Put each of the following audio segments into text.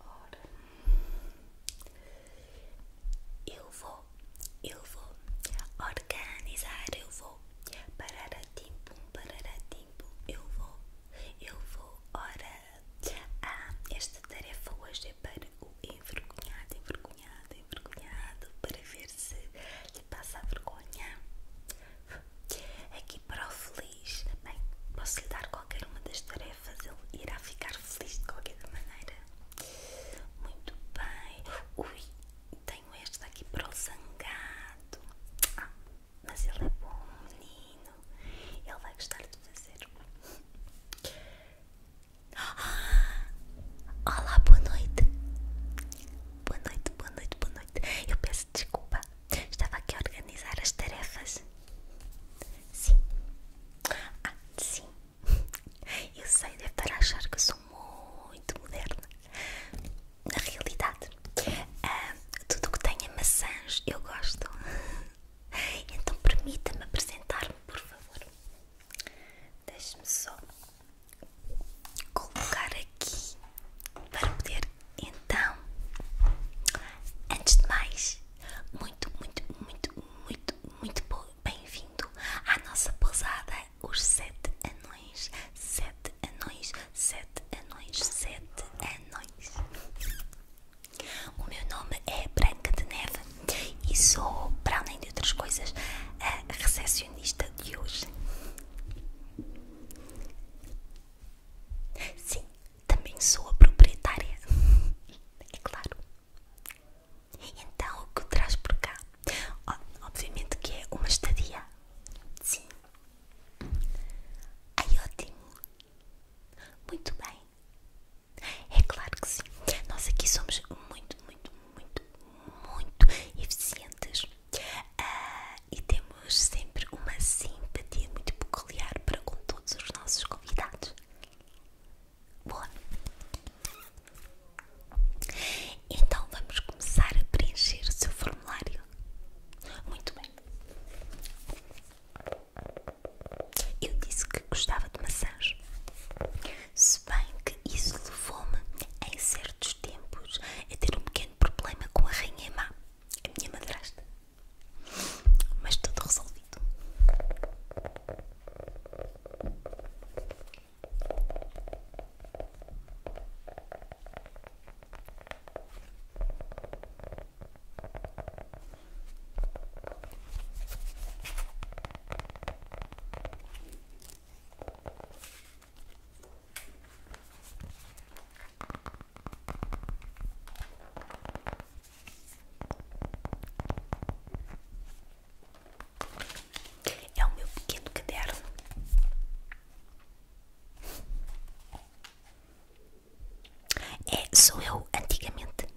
Ora, eu vou, eu vou organizar, eu vou parar a tempo, parar a tempo, eu vou, eu vou. Ora, ah, esta tarefa hoje é para o envergonhado, envergonhado, envergonhado, para ver se lhe passa a vergonha. Aqui é para o feliz também posso lhe dar qualquer uma das tarefas, ele irá ficar feliz de qualquer maneira. Muito bem. Ui, tenho esta aqui para o zangado. Ah, mas ele é bom, menino. Ele vai gostar de fazer. Ah, olá, boa noite. Boa noite, boa noite, boa noite. Eu peço desculpa. Estava aqui a organizar as tarefas. Sim. Ah, sim. Eu sei, deve estar a achar que sou muito moderna. Na realidade, ah, tudo que tenha maçãs eu gosto. Então permita-me apresentar-me, por favor. Deixe-me só colocar aqui para poder então antes de mais muito muito muito muito muito bem-vindo à nossa pousada os sete anões sete anões sete anões sete anões o meu nome é Branca de Neve e sou para além de outras coisas a recepcionista de hoje Sim, também sou a proprietária. É claro. Então o que traz por cá? Obviamente que é uma estadia. Sim. Ai, ótimo. Muito bem. É claro que sim. Nós aqui somos muito, muito, muito, muito eficientes ah, e temos sempre uma simpatia muito peculiar para com todos os nossos convidados. Boa! Então vamos começar a preencher o seu formulário. Muito bem. Eu disse que gostava de maçãs. Se bem que isso levou-me, em certos tempos, a ter um pequeno problema com a rainha má, a minha madrasta. Mas tudo resolvido. É o meu pequeno caderno. É, sou eu antigamente.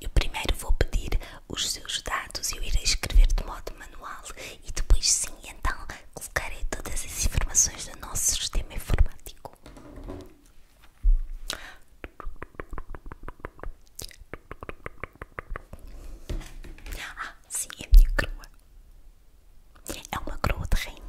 Eu primeiro vou pedir os seus dados, eu irei escrever de modo manual e depois sim, então colocarei todas as informações do nosso sistema informático. Ah, sim, é a minha crua. É uma crua de rainha.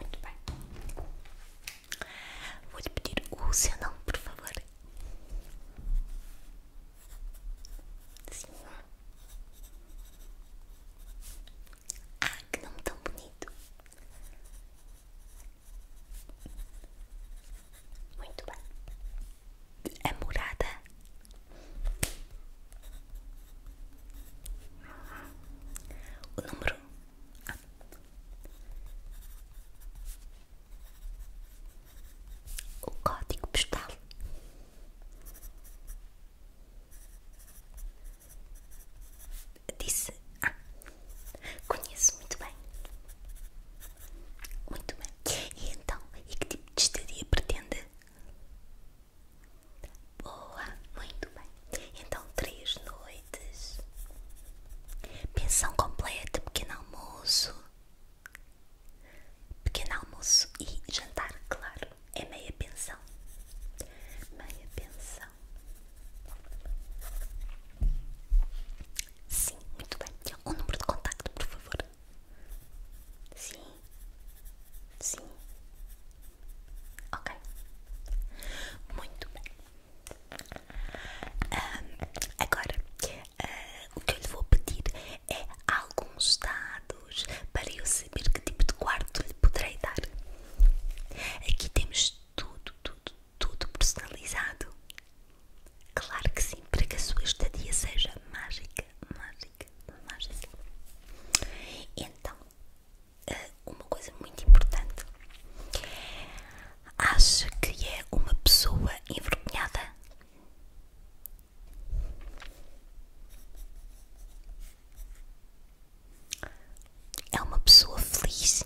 Muito bem. vou pedir o seu nome, por favor. Sim. Ah, que nome tão bonito. Muito bem. É morada. O número. O código postal. Disse ah, conheço muito bem. Muito bem. E então, e que tipo de estadia pretende? Boa, muito bem. Então, três noites. Pensão completa, pequeno almoço. Pequeno almoço e jantar, claro. É meia pensão. Meia pensão. Sim, muito bem. O número de contacto, por favor. Sim. Sim. Ok. Muito bem. agora, ah, o que eu lhe vou pedir é alguns dados para eu saber que tipo de quarto lhe poderei dar. Aqui temos tudo, tudo, tudo personalizado. Claro que sim, para que a sua estadia seja mágica, mágica, mágica. Então, eh, uma coisa muito importante. Acha que é uma pessoa envergonhada? é uma pessoa feliz.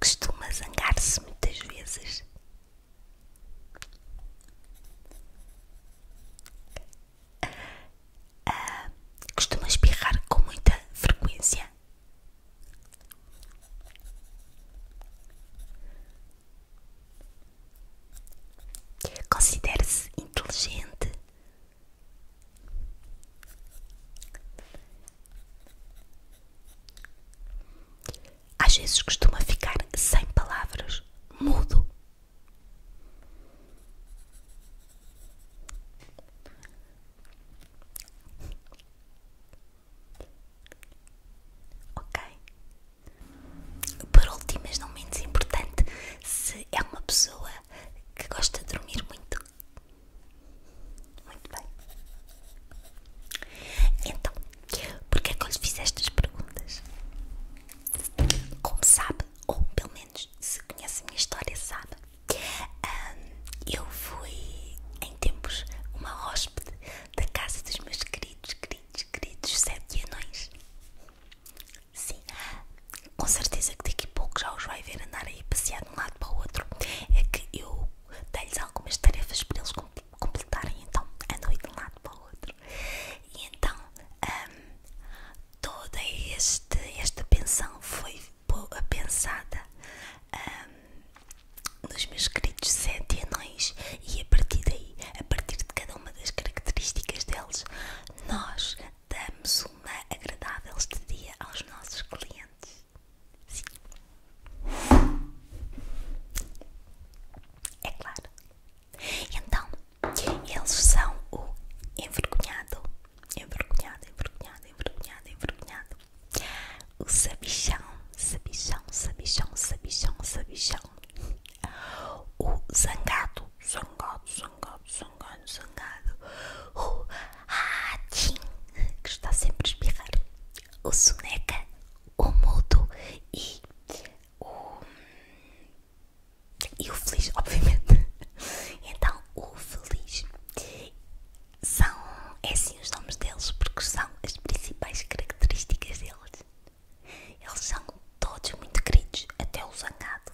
Costuma zangar-se muitas vezes. Ah, costuma espirrar com muita frequência. Considera-se inteligente. Às vezes costuma ficar sem palavras, mudo. Ok, por último, mas não menos importante, se é uma pessoa que gosta de dormir muito. Muito bem. Então, porque é que eu lhe fiz estas perguntas? Como sabe, ou pelo menos se conhece a minha história, sabe, eu fui em tempos uma hóspede da casa dos meus queridos, queridos, queridos sete anões. Sim, com certeza que daqui a pouco já os vai ver andar aí passear de um lado para o outro. É que eu dei-lhes algumas tarefas para eles completarem, então a andam de um lado para o outro. E então, hum, toda esta pensão foi pensada hum, nos meus queridos sete anões e a partir daí, a partir de cada uma das características deles, nós damos uma agradável estadia aos nossos clientes. Sim. É claro. Então, eles são o envergonhado, envergonhado, envergonhado, envergonhado, envergonhado, o sabichão, sabichão, sabichão, sabichão, sabichão, o zangado, zangado, zangado, zangado, zangado, o ratim, que está sempre a espirrar, o soneca, o mudo e o, feliz, obviamente. Então, o feliz são, é assim os nomes deles, porque são as principais características deles. Eles são todos muito queridos, até o zangado.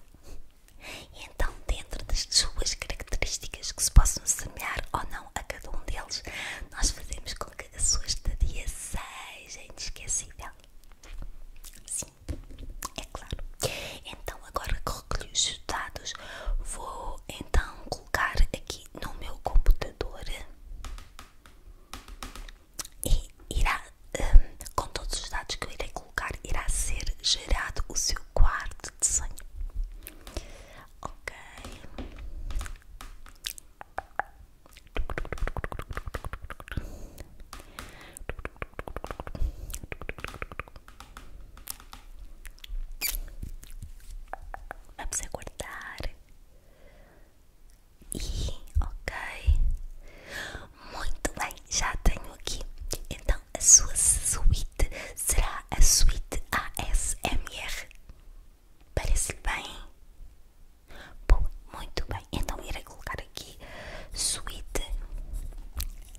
então, dentro das suas características que se possam semelhar ou não a cada um deles, nós fazemos com que a sua estadia seja inesquecível. Sim, é claro. Então, agora que recolhi os dados, vou então colocar aqui no meu computador e irá, hum, com todos os dados que eu irei colocar, irá ser gerado o seu quarto de desenho. Ok. Vamos aguardar e, ok. Muito bem, já tenho aqui. Então, a sua suíte será a suíte ASMR. Parece-lhe bem? Bom, muito bem. Então, irei colocar aqui suíte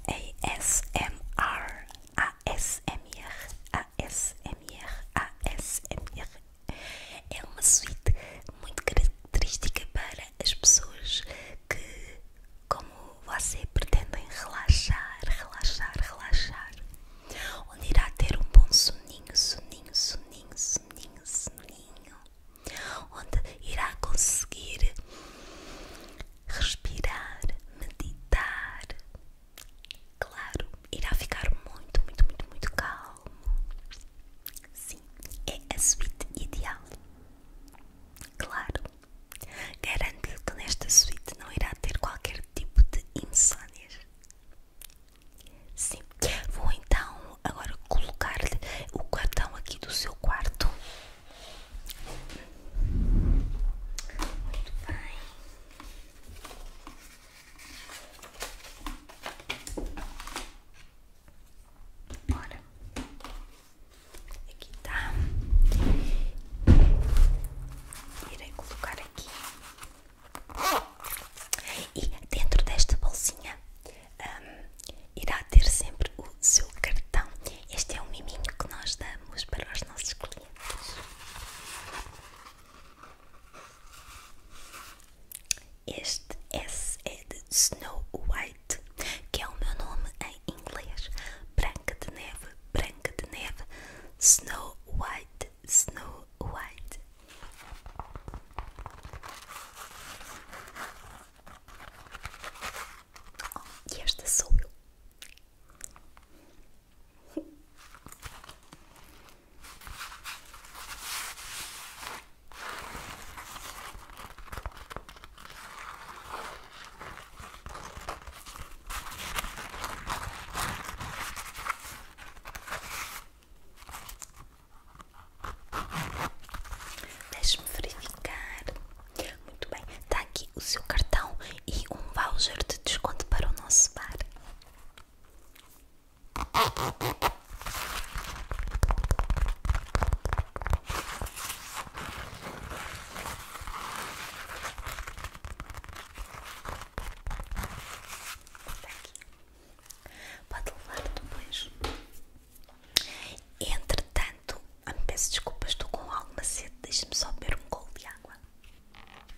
ASMR. ASMR, ASMR, ASMR, é uma suíte muito característica para as pessoas que, como você, pretendem relaxar, relaxar, relaxar. Onde irá ter um bom soninho, soninho, soninho, soninho, soninho. Onde irá conseguir respirar, meditar. Claro, irá ficar muito, muito, muito, muito calmo. Sim, é a suíte ideal. Claro, garanto-lhe que nesta suíte não irá ter qualquer tipo de insónias. Sim, vou então agora colocar-lhe o cartão aqui do seu quarto. Muito bem. Bora. Aqui tá. Irei colocar aqui. E dentro desta bolsinha hum, irá ter sempre o seu cartão. Este é um miminho que nós damos para os nossos clientes. Este S é de Snow White, que é o meu nome em inglês. Branca de neve, branca de neve, Snow White, Snow White. Oh, e esta sou eu. Deixe-me verificar. Muito bem, está aqui o seu cartão e um voucher de desconto para o nosso bar. Pode levar depois. Entretanto, me peço desculpas, estou com alguma sede. Deixa-me só beber um gol de água.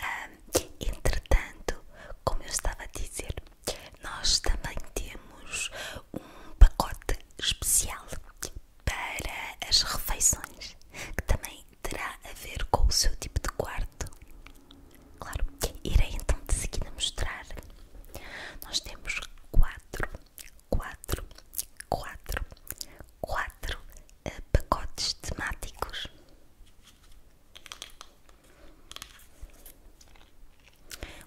Ehm, entretanto, como eu estava a dizer, Nós também temos um pacote especial para as refeições, que também terá a ver com o seu tipo de quarto. Claro, irei então de seguida mostrar. Nós temos quatro, quatro, quatro, quatro eh, pacotes temáticos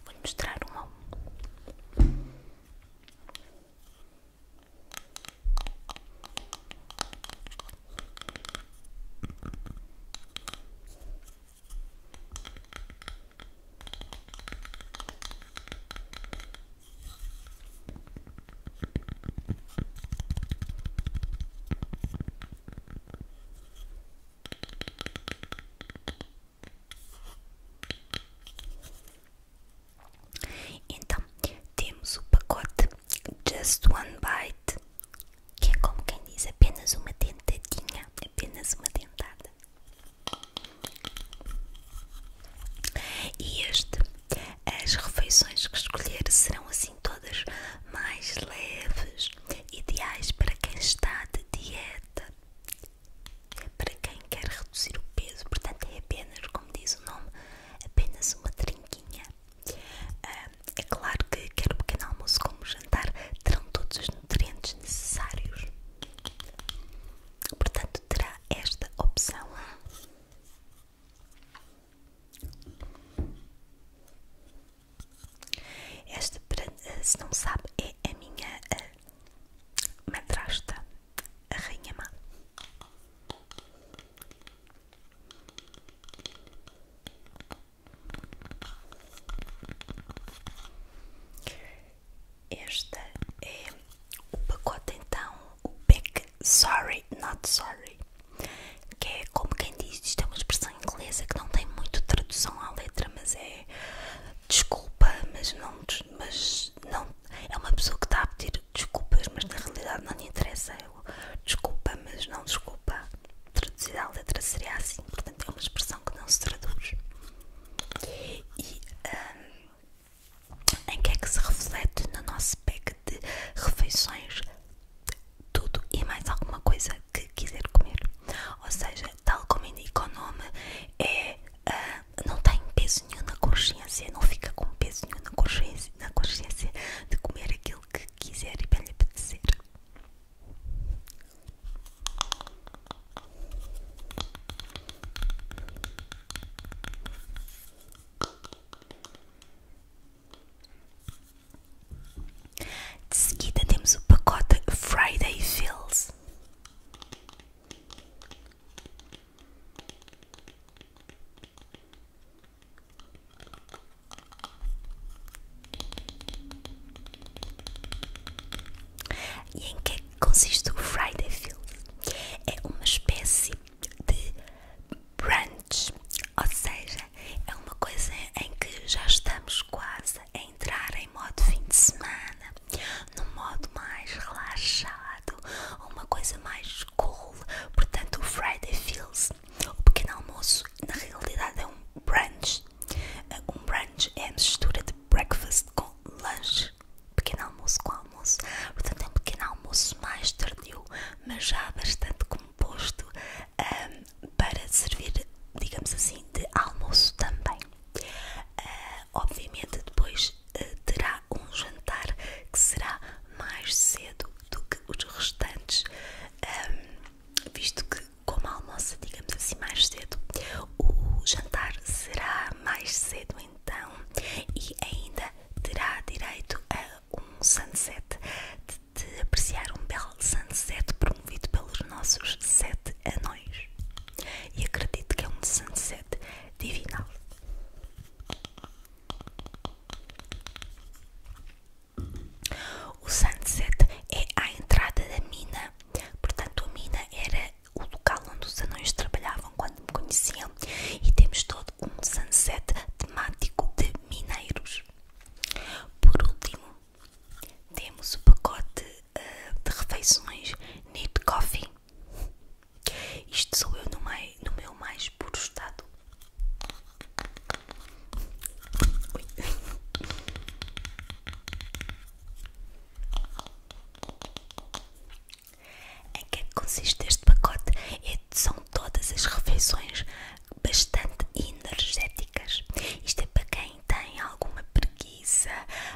vou mostrar um a um. Então, temos o pacote Just One Bite, que é como quem diz apenas uma dentadinha, apenas uma dentada. E este, as refeições que escolher serão assim todas mais leves, ideais para quem está de dieta, para quem quer reduzir o peso, portanto é apenas, como diz o nome, apenas uma trinquinha. Ah, é claro que quer o pequeno almoço quer o jantar terão todos os nutrientes necessários, portanto terá esta opção. Esta, se não sabe, é a minha madrasta, a rainha má. Este é o pacote então, o pack Sorry Not Sorry que é como quem diz, isto é uma expressão inglesa que não tem muito tradução à letra, mas é desculpa, mas não, mas não é uma pessoa que está a pedir desculpas, mas na realidade não lhe interessa. É desculpa, mas não desculpa. Traduzida à letra seria assim, portanto é uma expressão que não se traduz. E hum, em que é que se reflete no nosso pack de refeições tudo e mais alguma coisa que quiser comer. Ou seja, tal como indica o nome, é, ah, não tem peso nenhum na consciência, não fica com peso nenhum consciência, na consciência de comer aquilo que quiser e bem lhe apetecer. De seguida temos o pacote Friday Fills. E em é que consiste o Friday Fills? É uma espécie de brunch, ou seja, é uma coisa em que já estamos quase a entrar em modo fim de semana, num modo mais relaxado, uma coisa mais cool. Portanto, o Friday Feels, o pequeno almoço, na realidade é um brunch. Uh, um brunch é a mistura de breakfast com lunch, pequeno almoço com almoço. Portanto, é um pequeno almoço mais tardio, mas já bastante composto para servir, digamos assim, de almoço também. Ah, obviamente, depois ah, terá um jantar que será mais cedo do que os restantes, ah, visto que, como almoça, digamos assim, mais cedo, o jantar será mais cedo então e ainda terá direito a um sunset de apreciar um belo sunset promovido pelos nossos sete anões. E acredito que é um sunset divinal. O sunset é a entrada da mina, portanto, a mina era o local onde os anões trabalhavam quando me conheciam, e temos todo um sunset temático de mineiros. Por último, temos o pacote eh, de refeições Need Coffee. Isto sou eu no, meu mais puro estado. Em que é que consiste este pacote? É, são todas as refeições bastante energéticas. Isto é para quem tem alguma preguiça,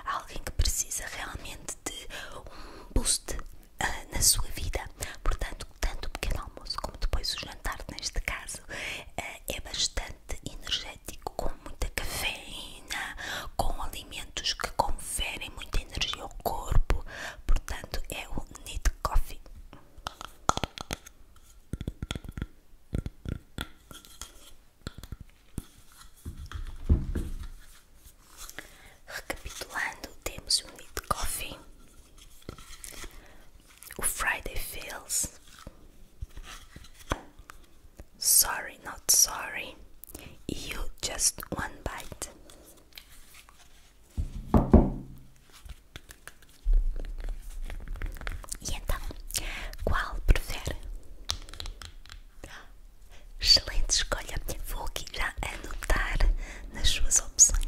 alguém que precisa realmente de um boost ah, na sua vida. Portanto, tanto o pequeno almoço como depois o jantar, neste caso, ah, é bastante energético, com muita cafeína, com alimentos que conferem muita energia ao corpo. Portanto, é o Need Coffee. Recapitulando, temos o um Coffee, o Friday Feels, Sorry Not Sorry You Just One Bite. E então, qual prefere? Excelente escolha. Vou aqui já anotar nas suas opções.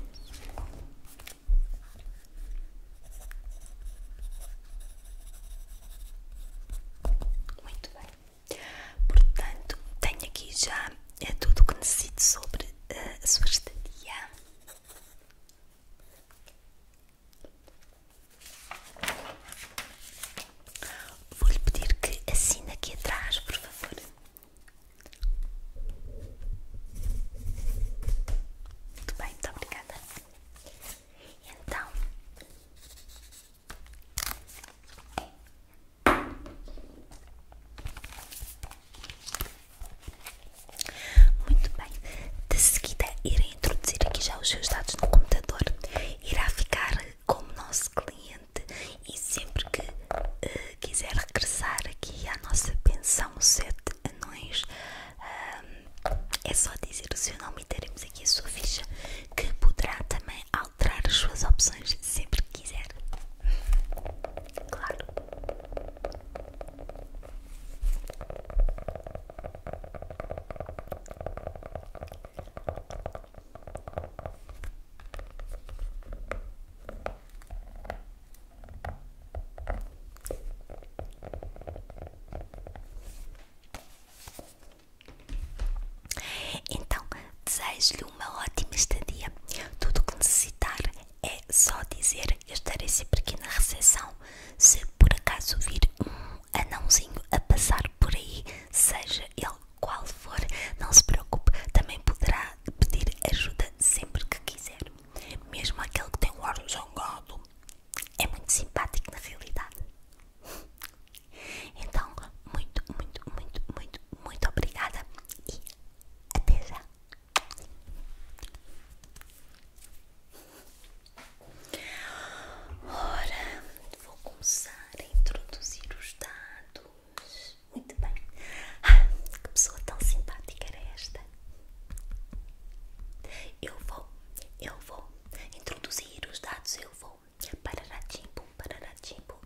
Muito bem. Portanto, tenho aqui já é tudo o que necessito sobre eh, a sua estadia. Vou-lhe pedir que assine aqui atrás, por favor. Muito bem, muito obrigada. Então, muito bem, de seguida irei introduzir aqui já os seus dados no computador. Irá ficar como nosso cliente e sempre que eh, quiser regressar aqui à nossa pensão 7 anões, uh, é só dizer o seu nome e teremos aqui a sua ficha que poderá também alterar as suas opções sempre que quiser. Claro. Então, desejo-lhe uma ótima estadia. Tudo o que necessitar é só dizer. Eu estarei sempre aqui na recepção. Se por acaso vir um anãozinho a passar por aí, seja ele qual for, não se preocupe, também poderá pedir ajuda sempre que quiser. Mesmo aquele que tem o ar zangado é muito simpático na realidade. Então, muito, muito, muito, muito, muito obrigada até já. Ora, vou começar a introduzir os dados. Muito bem. Ah, que pessoa tão simpática era esta? Eu vou, eu vou introduzir os dados, eu vou. parar parar Pararatimbo, pararatimbo.